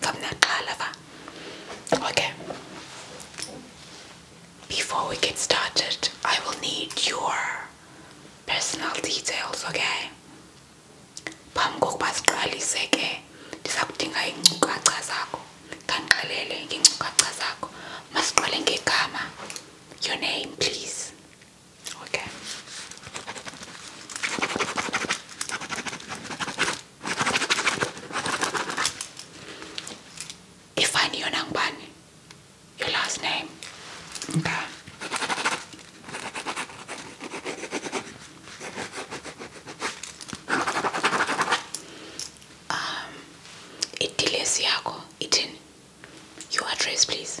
from the Kalava. Okay. Before we get started, I will need your personal details, okay? Phambi kokuba siqalise ke ndiza kudinga iinkcukacha zakho. Khandiqelele ngeenkcukacha zakho. Masiqale ngegama. Your name, please. Okay. If I knew Nangban, your last name. Okay. Um idilesi yakho ithini your address please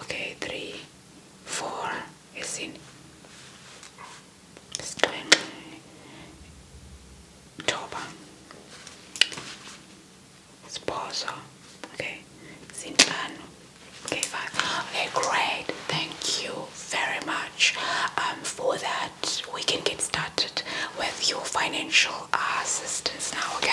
Okay, three, four is in Stein Toba Sposo. Okay. Sintano. Okay, fine. Okay, great. Thank you very much. Um, for that we can get started with your financial assistance now, okay?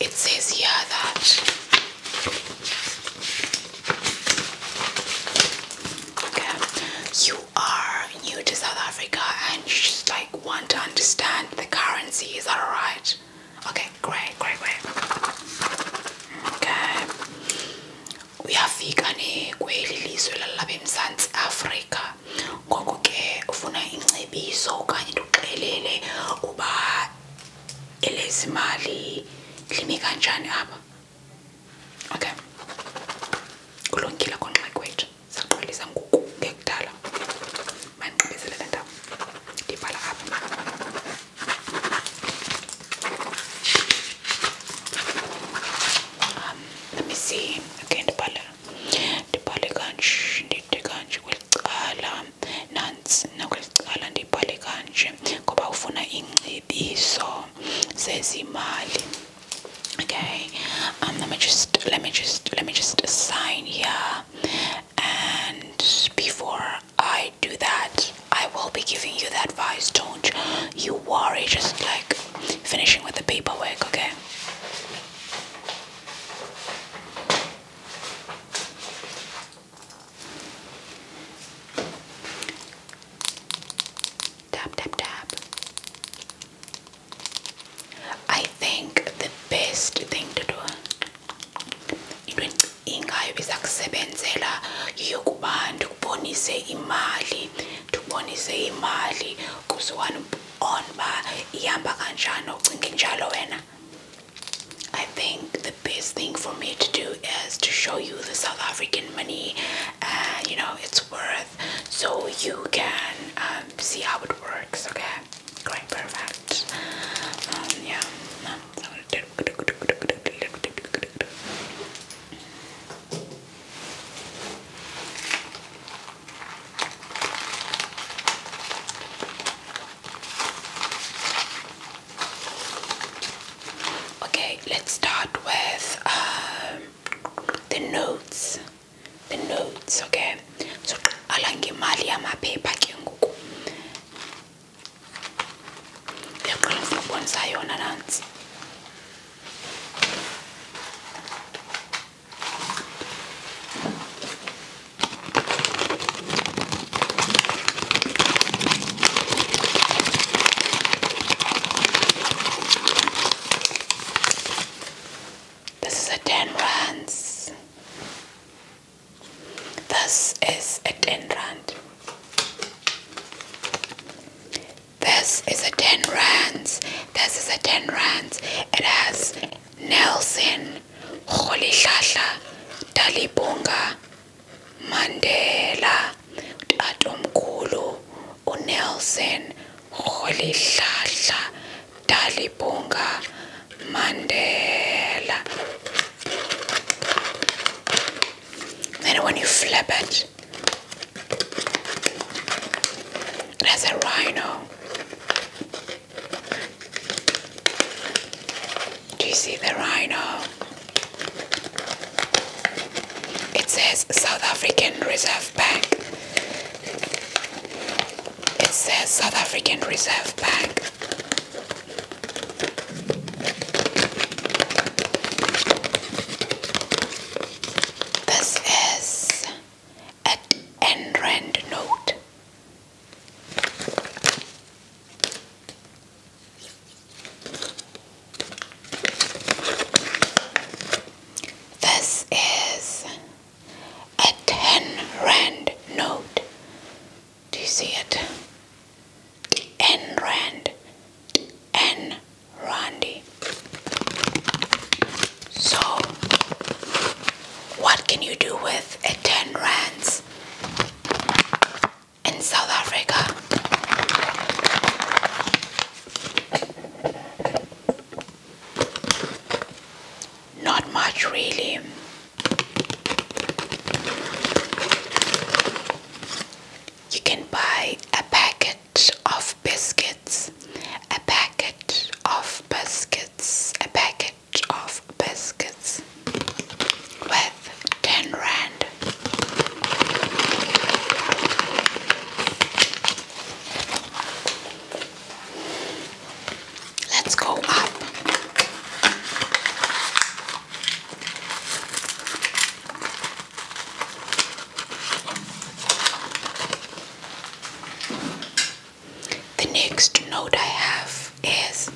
it says here that okay, you are new to South Africa and you just like want to understand the currency. Is that alright? Okay, great, great, great. Okay. Uyafika ne kweli lizwe lalapha eMzantsi Afrika. Ngoko ke ufuna ingcebiso okanye ndikuxelele uba elezimali limi kanjani apha okay kulungile khona makwethu saqalisa ngoku ngekudala mandibizele le ndawo ndibhala um, let me see okay ndibhale ndibhale kanje ndide kanje kweli cala okay um, let me just let me just let me just sign here and before i do that i will be giving you the advice don't you worry just like finishing with the paperwork okay Tap, tap, tap. I think the best thing to do ingayo bizakusebenzela yokuba ndikubonise imali ndikubonise imali kuziwani on uba ihamba kanjani ucinge njalo wena I think the best thing for me to do is to show you the South African money and you know its worth so you can um, see how it works. Okay, great, perfect. Um, yeah. Okay, let's start with um, the notes. The notes, okay. So alangemali yamaphepha ke ngoku. Yakhona ngibonisa yona nansi. This is a 10 rands. This is a 10 rand. This is a 10 rands. This is a 10 rands. It has Nelson rholihlahla dalibhunga mandela utatomkhulu unelson rholihlahla dalibhunga mandela then when you flip it there's a rhino do you see the rhino? It says South African Reserve Bank. It says South African Reserve Bank. This is an rand note. This is a 10 rand note. Do you see it? N rand. N randy. So, what can you do with 10 rands? In South Africa. Not much really. You can buy a packet of biscuits, a packet of biscuits, a packet of biscuits with 10 rand. Let's go up. The next note I have is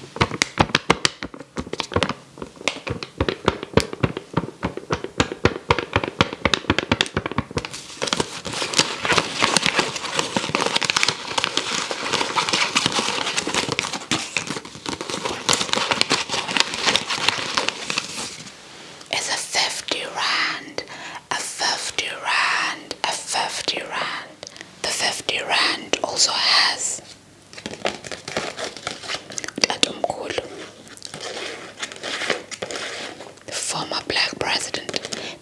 it's a 50 rand, a 50 rand, a 50 rand. The 50 Rand also has Tatumkulu, the former black president,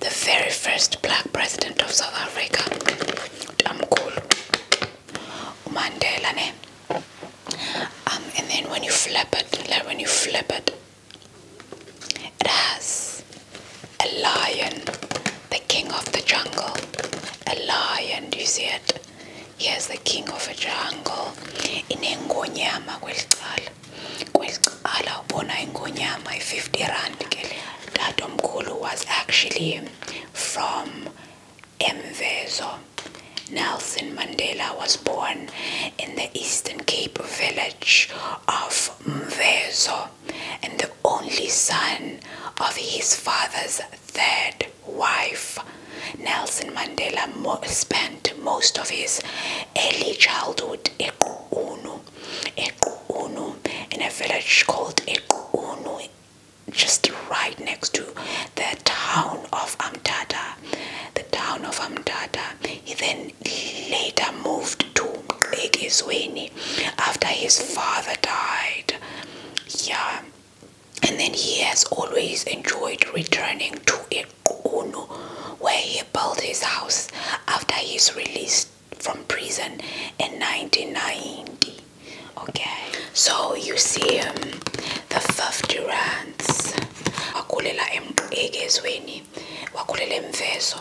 the very first black president of South Africa, Tamkulu, Mandela, Um, and then when you flip it, like when you flip it, it has a lion, the king of the jungle. A lion, you see it? He is the king of a jungle. Inengonyama kwelicala. Kwelicala ubona ingonyama i50 rand ke. Tatomkhulu was actually from Mvezo. Nelson Mandela was born in the Eastern Cape village of Mvezo and the only son of his father's third wife. Nelson Mandela spent most of his early childhood in a village called Ekuunu, just right next to the town of Amtata. The town of Amtata. He then later moved to make after his father died. Yeah, and then he has always enjoyed returning to Ikuno, where he built his house after his release from prison in 1990. Okay, so you see um, the 50 rands. wakhulela egezweni wakhulela emvezo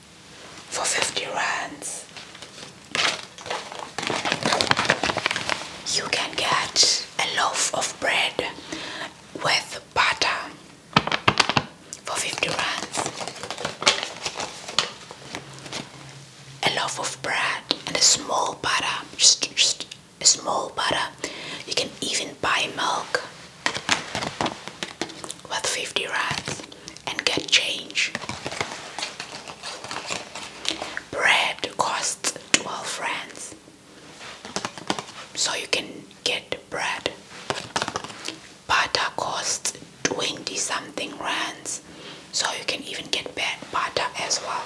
for 50 rands. You can get a loaf of bread with butter for 50 rands. A loaf of bread and a small butter, just, just a small butter. You can even buy milk with 50 rands and get change. Bread costs 12 francs. So you can get bread. Butter costs 20 something rands. So you can even get bad butter as well.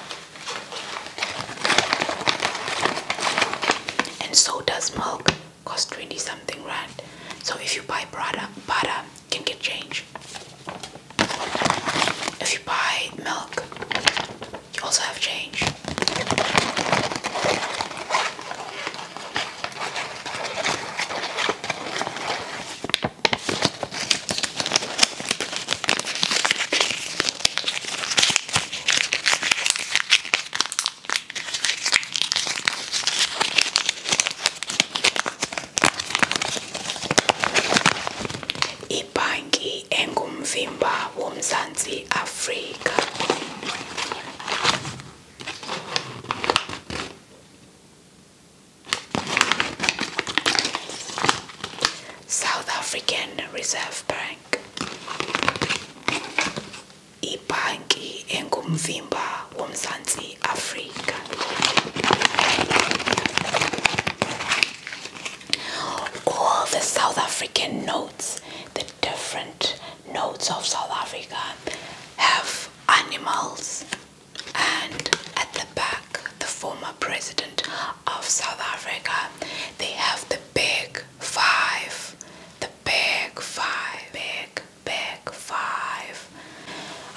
And so does milk cost 20 something rand. So if you buy butter, butter can get change. If you buy milk, you also have change ibhanki engumvimba womzansi Africa. South African Reserve Bank ibhanki engumvimba womzansi Africa. All the South African notes, the different notes of South Africa, have animals. And at the back, the former president of South Africa, they have the big five, the big five, big, big five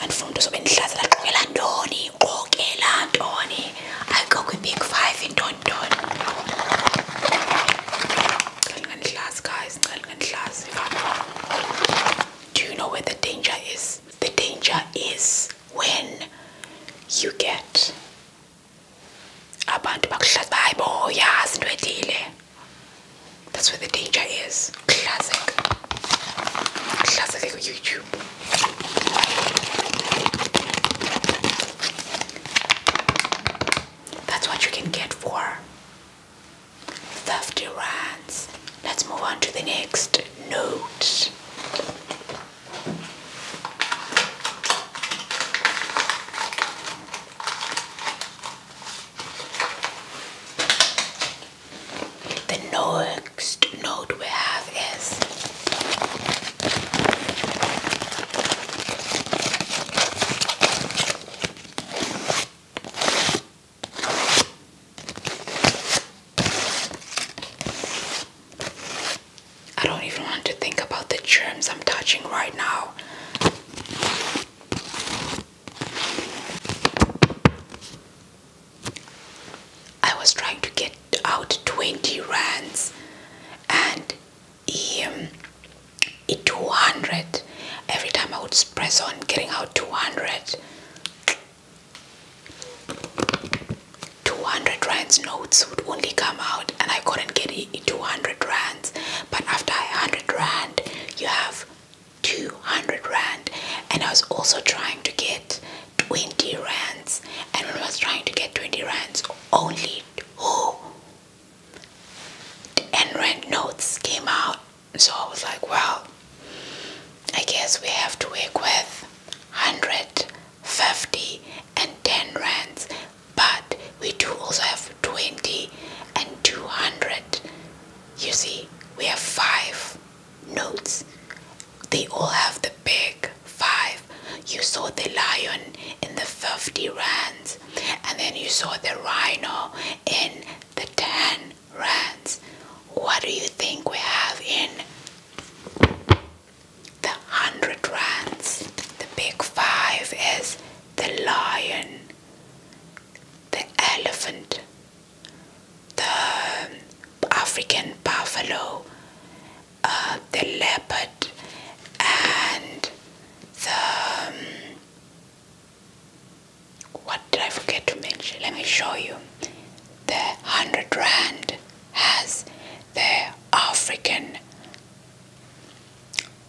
andifunda uzobe ndihlaza ndaqokela ntoni uqokela ntoni ayikho kwi-big five intoni ntoni ndingandihlazi guys ndingandihlazi do you know where the danger is the danger is when you get abantu bakuhlaza bayi bo yazi into that's where the danger is classic that's what you can get for 50 rands. Let's move on to the next note. The next note we have is I don't even want to think about the germs I'm touching right now. I was trying to get out 20 rands and he, um, 200 every time I would press on getting out 200 200 rands notes would only come out and I couldn't get 200 rands but after 100 rand you have 200 rand and I was also trying to get 20 rands and I was trying to get 20 rands only two 10 rand notes came out so I was like well I guess we have to work with 150 and 10 rands but we do also have 20 and 200 you see we have five notes they all have the big five you saw the lion in the 50 rands and then you saw the rhino in the 10 rands what do you think we have in the 100 rands the big five is the lion the elephant the African buffalo, uh, the leopard, and the um, what did I forget to mention? Let me show you. The hundred rand has the African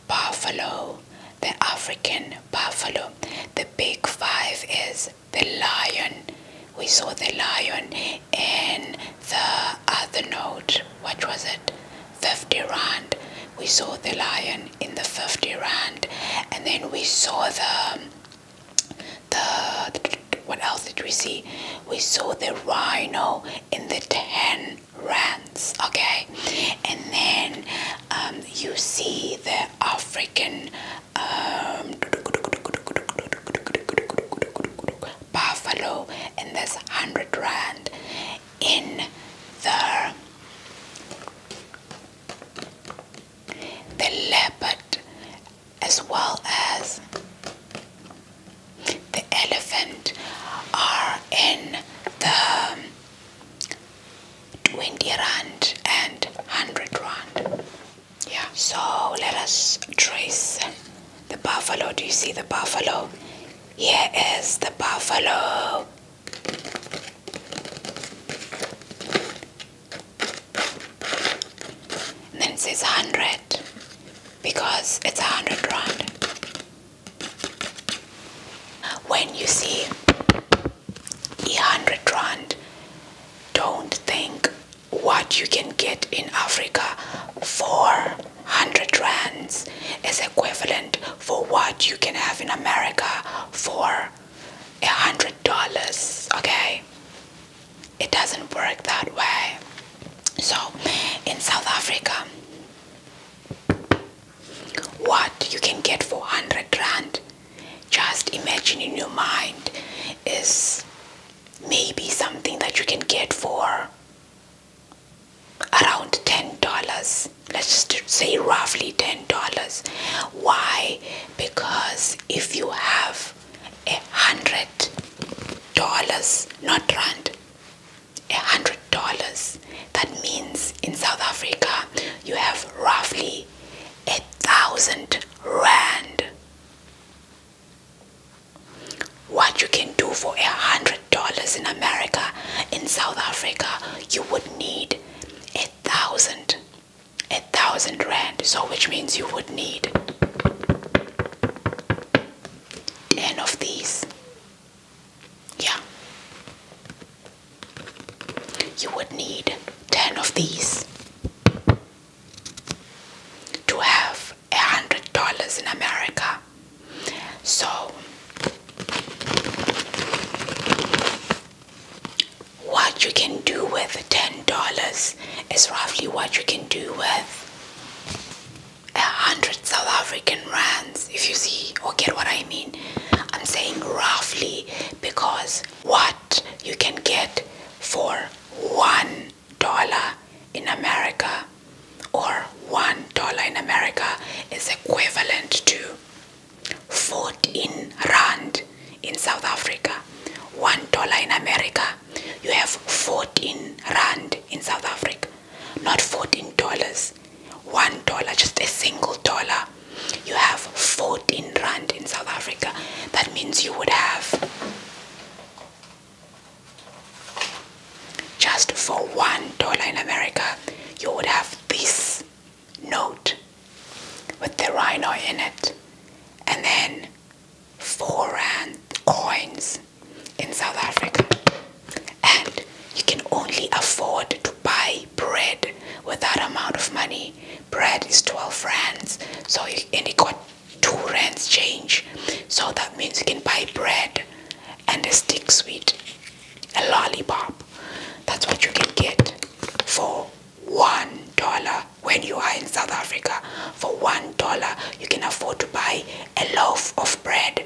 buffalo, the African buffalo. The big five is the lion. We saw the lion in the other note. What was it? 50 rand. We saw the lion in the 50 rand. And then we saw the, the, what else did we see? We saw the rhino in the 10 rands, okay? And then um, you see the African buffalo, and that's 100 rand in the the leopard as well as the elephant are in the 20 rand and 100 rand so let us trace the buffalo. Do you see the buffalo? Here is the buffalo. And then it says 100 because it's 100 round. When you see 100 rand don't think what you can get in africa 400 rands is equivalent for what you can have in america for a hundred dollars okay it doesn't work that way so in south africa what you can get for 100 rand just imagining your mind is maybe something that you can get for around $10. Let's just say roughly $10. Why? Because if you have a hundred dollars, not rand, a hundred dollars, that means in South Africa you have roughly a thousand rand. What you can do for a hundred dollars in America, in South Africa, you would need a thousand, a thousand rand. So, which means you would need ten of these. Yeah, you would need ten of these to have a hundred dollars in America. So what you can do with ten dollars is roughly what you can do with a hundred South African rands, if you see or get what I mean. I'm saying roughly because what you can get for one dollar in America or one dollar in America is equivalent to 14 rand in South Africa. One dollar in America, you have 14 rand in South Africa, not 14 dollars. One dollar, just a single dollar, you have 14 rand in South Africa. That means you would have just for one dollar in America, you would have this note with the rhino in it, and then four coins in South Africa. And you can only afford to buy bread with that amount of money Bread is 12 rands. So you, and he got two rands change. So that means you can buy bread and a stick sweet, a lollipop. That's what you can get for one dollar when you are in South Africa. For one dollar, you can afford to buy a loaf of bread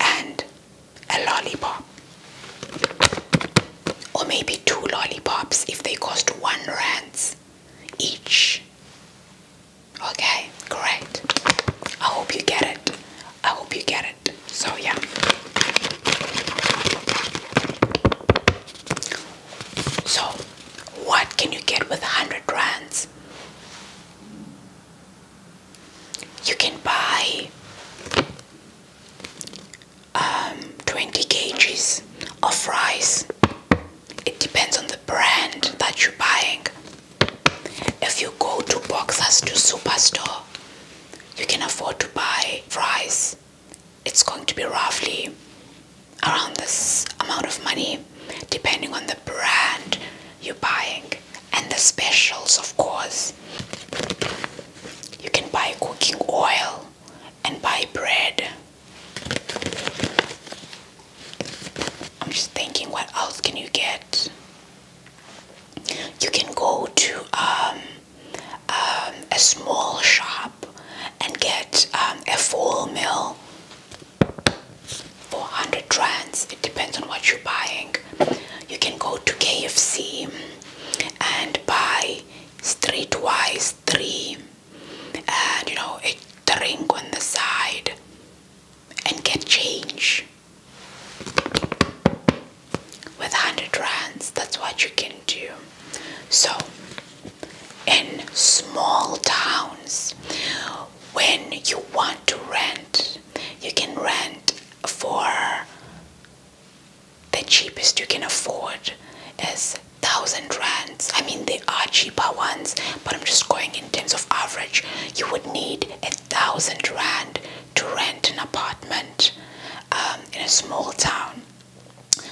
and a lollipop, or maybe two lollipops if they cost one rands each. Okay, great. I hope you get it. I hope you get it. So, yeah. So, what can you get with a 100 rands? You can buy um, 20 kgs of rice. It depends on the brand that you're buying. If you go to Boxers to Superstore, you can afford to buy rice. It's going to be roughly around this amount of money, depending on the brand you're buying and the specials, of course. You can buy cooking oil and buy bread. I'm just thinking, what else can you get? You can go to um, um, a small shop and get um, a full meal four hundred 100 rands. It depends on what you're buying. You can go to KFC and buy streetwise three and you know a drink on the side and get change with 100 rands that's what you can do so in small towns when you want to rent you can rent for the cheapest you can afford is thousand rands i mean they are cheaper ones but i'm just going in terms of average you would need a thousand rand to rent an apartment um, in a small town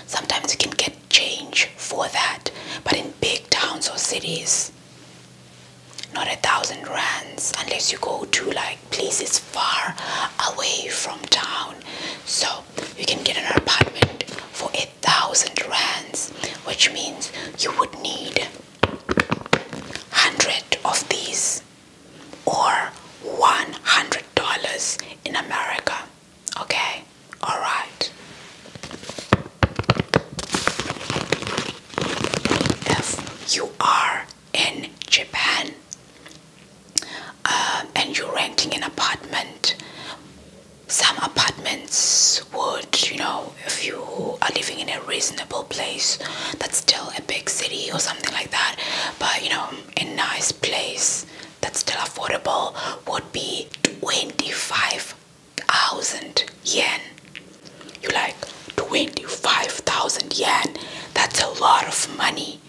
sometimes you can get change for that but in big towns or cities not a thousand rands unless you go to like places far away from town so you can get an apartment for 8,000 rands, which means you would need 100 of these or $100 in America. Okay? Alright. If you are in Japan um, and you're renting an apartment, some apartments would, you know, if you are living in a reasonable place that's still a big city or something like that, but you know, a nice place that's still affordable would be 25,000 yen. You like 25,000 yen, that's a lot of money,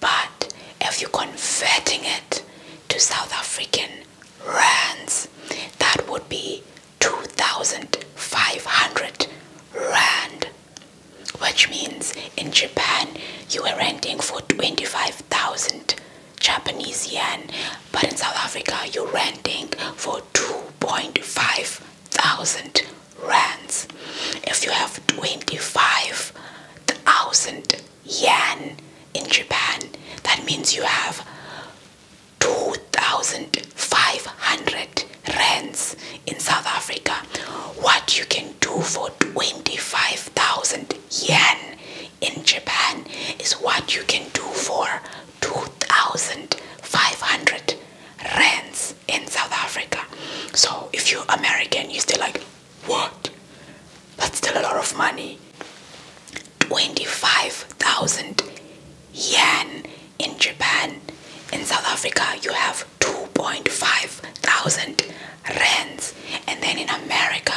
but if you're converting it to South African rands. That would be 2,500 rand, which means in Japan you are renting for 25,000 Japanese yen, but in South Africa you're renting for 2.5 thousand rands. If you have 25,000 yen in Japan. That means you have 2,500 rands in South Africa. What you can do for 25,000 yen in Japan is what you can do for 2,500 rands in South Africa. So if you're American, you still like what? That's still a lot of money. 25,000 yen in Japan. In South Africa, you have 2.5 thousand rands. And then in America,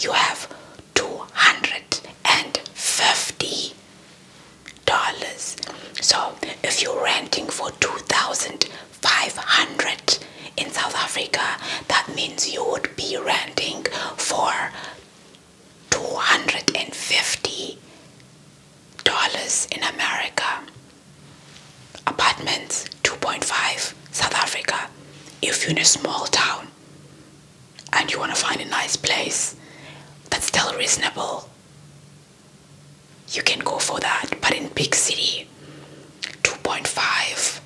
you have 250 dollars. So if you're renting for 2,500 in South Africa, that means you would be renting for $250 in America. Apartments 2.5 South Africa. If you're in a small town and you want to find a nice place that's still reasonable, you can go for that. But in big city, 2.5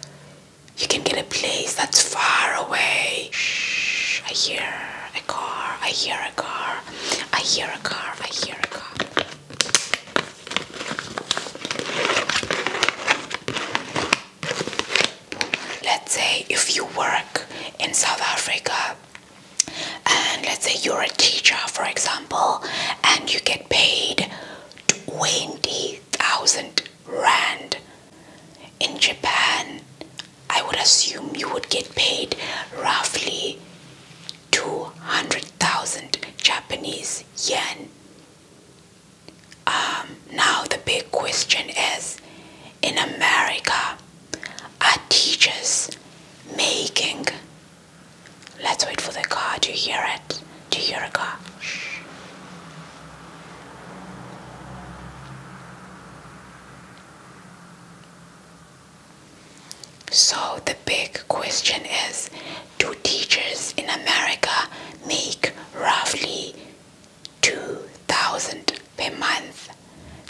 you can get a place that's far away. Shh, I hear a car, I hear a car, I hear a car, I hear a car. Let's say if you work in South Africa and let's say you're a teacher, for example, and you get paid 20,000 rand. In Japan, I would assume you would get paid roughly 200,000 Japanese yen. Um, now, the big question is in America, are teachers making? Let's wait for the card, you hear it to your car. So, the big question is do teachers in America make roughly 2000 per month?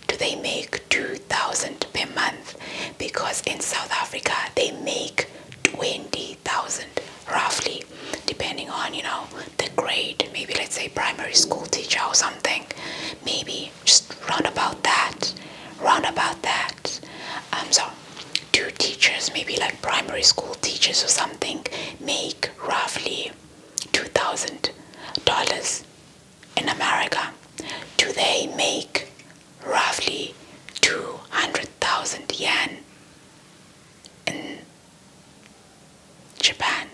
Do they make 2000 per month? Because in South Africa they make 20,000 roughly depending on you know the grade maybe let's say primary school teacher or something maybe just round about that round about that um so two teachers maybe like primary school teachers or something make roughly two thousand dollars in America do they make roughly two hundred thousand yen in Japan.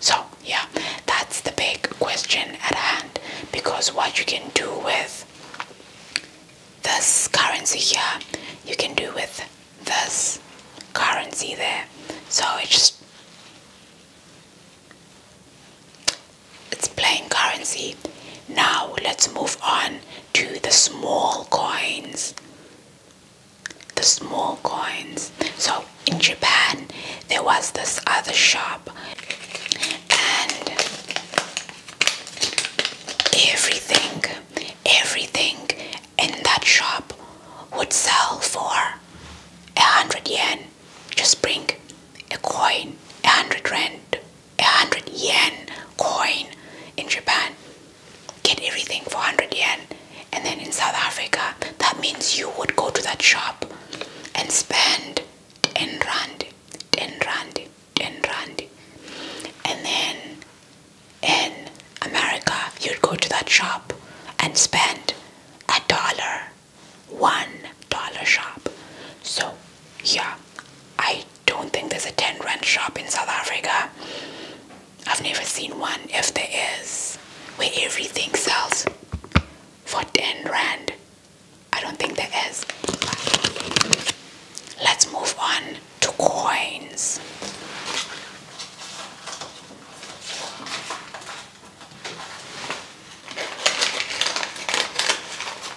So, yeah, that's the big question at hand because what you can do with this currency here, you can do with this currency there. So, it just it's plain currency. Now let's move on to the small coins. The small coins. So in Japan, there was this other shop, and everything, everything in that shop would sell for a hundred yen just bring a coin, a hundred rand, a hundred yen coin in Japan. Get everything for 100 yen, and then in South Africa, that means you would go to that shop and spend 10 rand, 10 rand, 10 rand, and then in America, you'd go to that shop and spend a dollar, one dollar shop. So yeah, I don't think there's a 10 rand shop in South Africa. I've never seen one if there is where everything sells for 10 rand. I don't think there is. Let's move on to coins.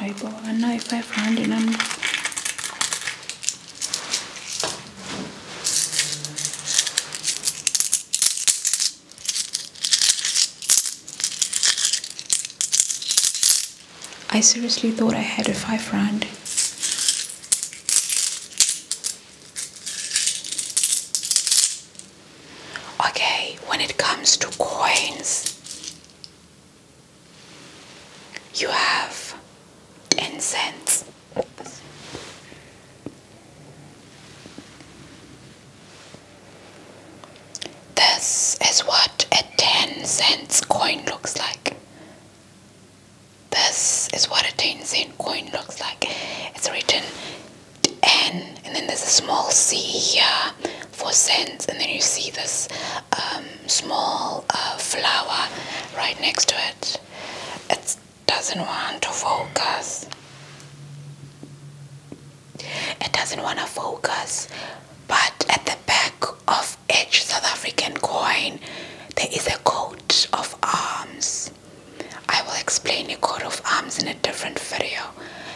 Ayibona i-five rand nam I seriously thought I had a five rand. Okay, when it comes to coins, you have incense. This is what a 10 cents coin looks like. This is what a 10 cent coin looks like. It's written N, and then there's a small C here for cents, and then you see this um, small uh, flower right next to it. It doesn't want to focus. It doesn't want to focus, but at the back of each South African coin, there is a coat of arms. I will explain a coat of arms in a different video.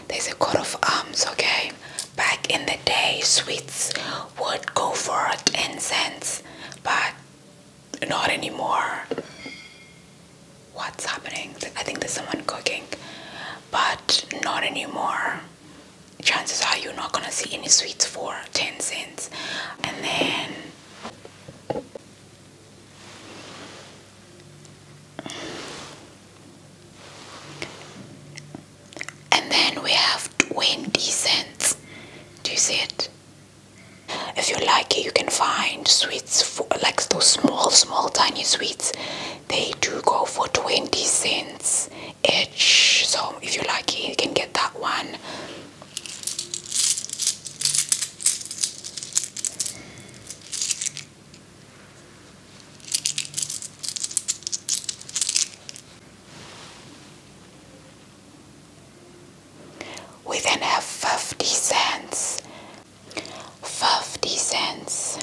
There's a coat of arms, okay? Back in the day, sweets would go for ten cents, but not anymore. What's happening? I think there's someone cooking, but not anymore. Chances are you're not gonna see any sweets for 10 cents. And then and then we have 20 cents. Do you see it? If you like it, you can find sweets for, like those small, small, tiny sweets. They do go for 20 cents each. So if you like it, you can get that one. We then have 50 cents, 50 cents,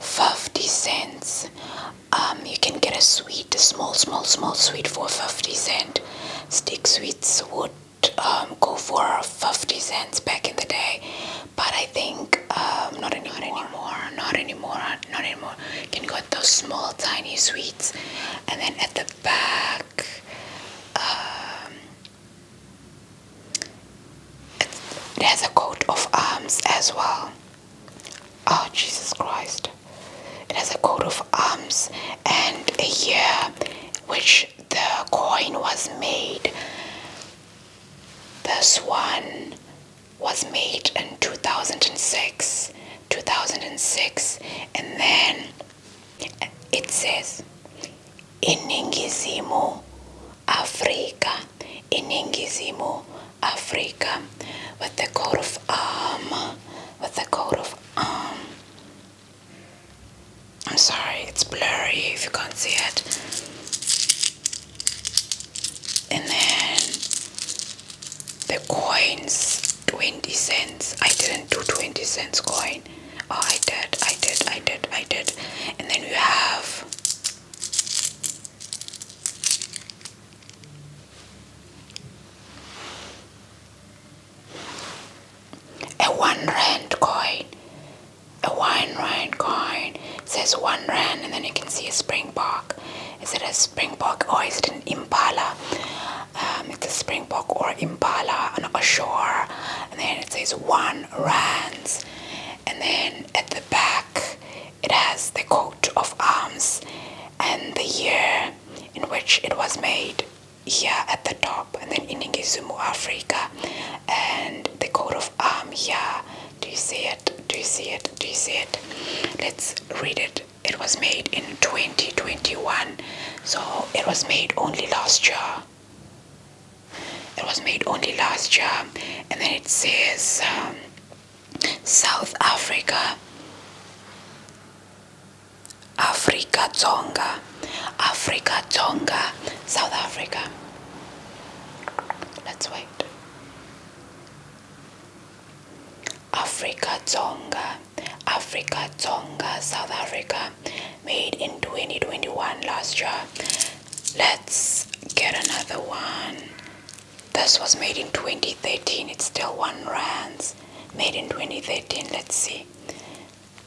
50 cents. Um, you can get a sweet, a small, small, small sweet for 50 cent. Stick sweets would um, go for 50 cents back in the day but I think um, not anymore not anymore not anymore you can get those small tiny sweets and then at the back um, it has a coat of arms as well oh Jesus Christ it has a coat of arms and a year which the coin was made. This one was made in 2006. 2006 and then it says "In iningizimu africa "In iningizimu africa with the coat of arm with the coat of arm I'm sorry, it's blurry if you can't see it. And then the coins 20 cents. I didn't do 20 cents coin. Oh, I did, I did, I did, I did. And then you have a one rand coin. A one rand coin. says one rand and then you can see a springbok. Is it a springbok or is it an impala? Um, it's a springbok or impala on a shore. And then it says one rands. And then at the back it has the coat of arms and the year in which it was made here at the top and then in Iningizumu Africa and the coat of arm Yeah, Do you see it? Do you see it? Do you see it? Let's read it. It was made in 2021, so it was made only last year. It was made only last year, and then it says um, South Africa. Africa Tonga, Africa Tonga, South Africa. Let's wait. Africa Tonga, Africa Tonga, South Africa, made in 2021 last year. Let's get another one. This was made in 2013, it's still one rands. Made in 2013, let's see.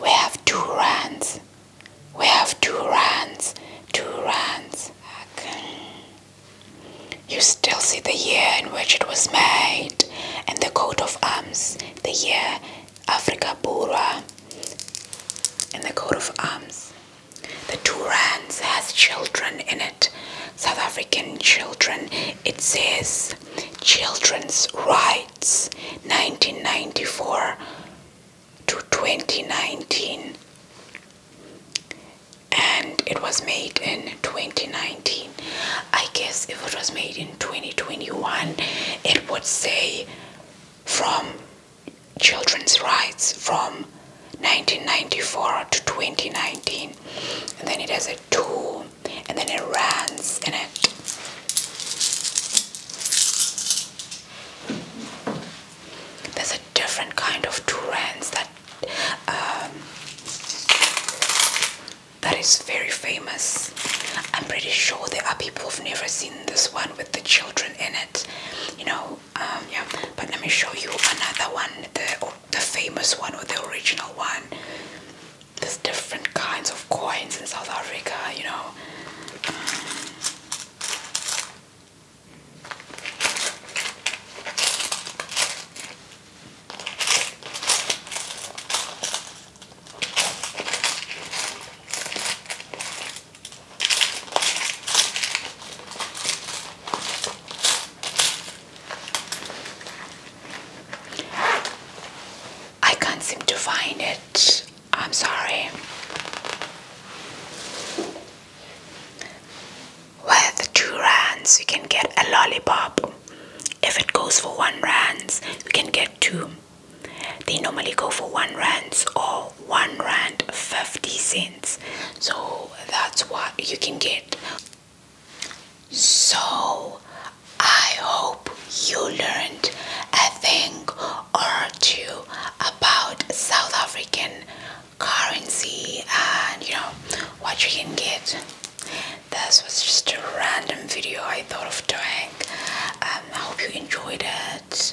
We have two runs. We have two runs. Two runs. You still see the year in which it was made and the coat of arms. The year Africa Bora, and the coat of arms. The two runs has children in it. South African children. It says children's right. 1994 to 2019 and it was made in 2019 i guess if it was made in 2021 it would say from children's rights from 1994 to 2019 and then it has a two and then it runs in it. There's a different kind of Turans that um, that is very famous. I'm pretty sure there are people who've never seen this one with the children in it. You know, um, yeah. But let me show you another one, the the famous one or the original one there's different kinds of coins in South Africa, you know. I can't seem to find it. I'm sorry. With two rands, you can get a lollipop. If it goes for one rands, you can get two. They normally go for one rands or one rand fifty cents. So that's what you can get. So, I hope you learned a thing or two about South African currency and you know what you can get. This was just a random video I thought of doing. Um, I hope you enjoyed it.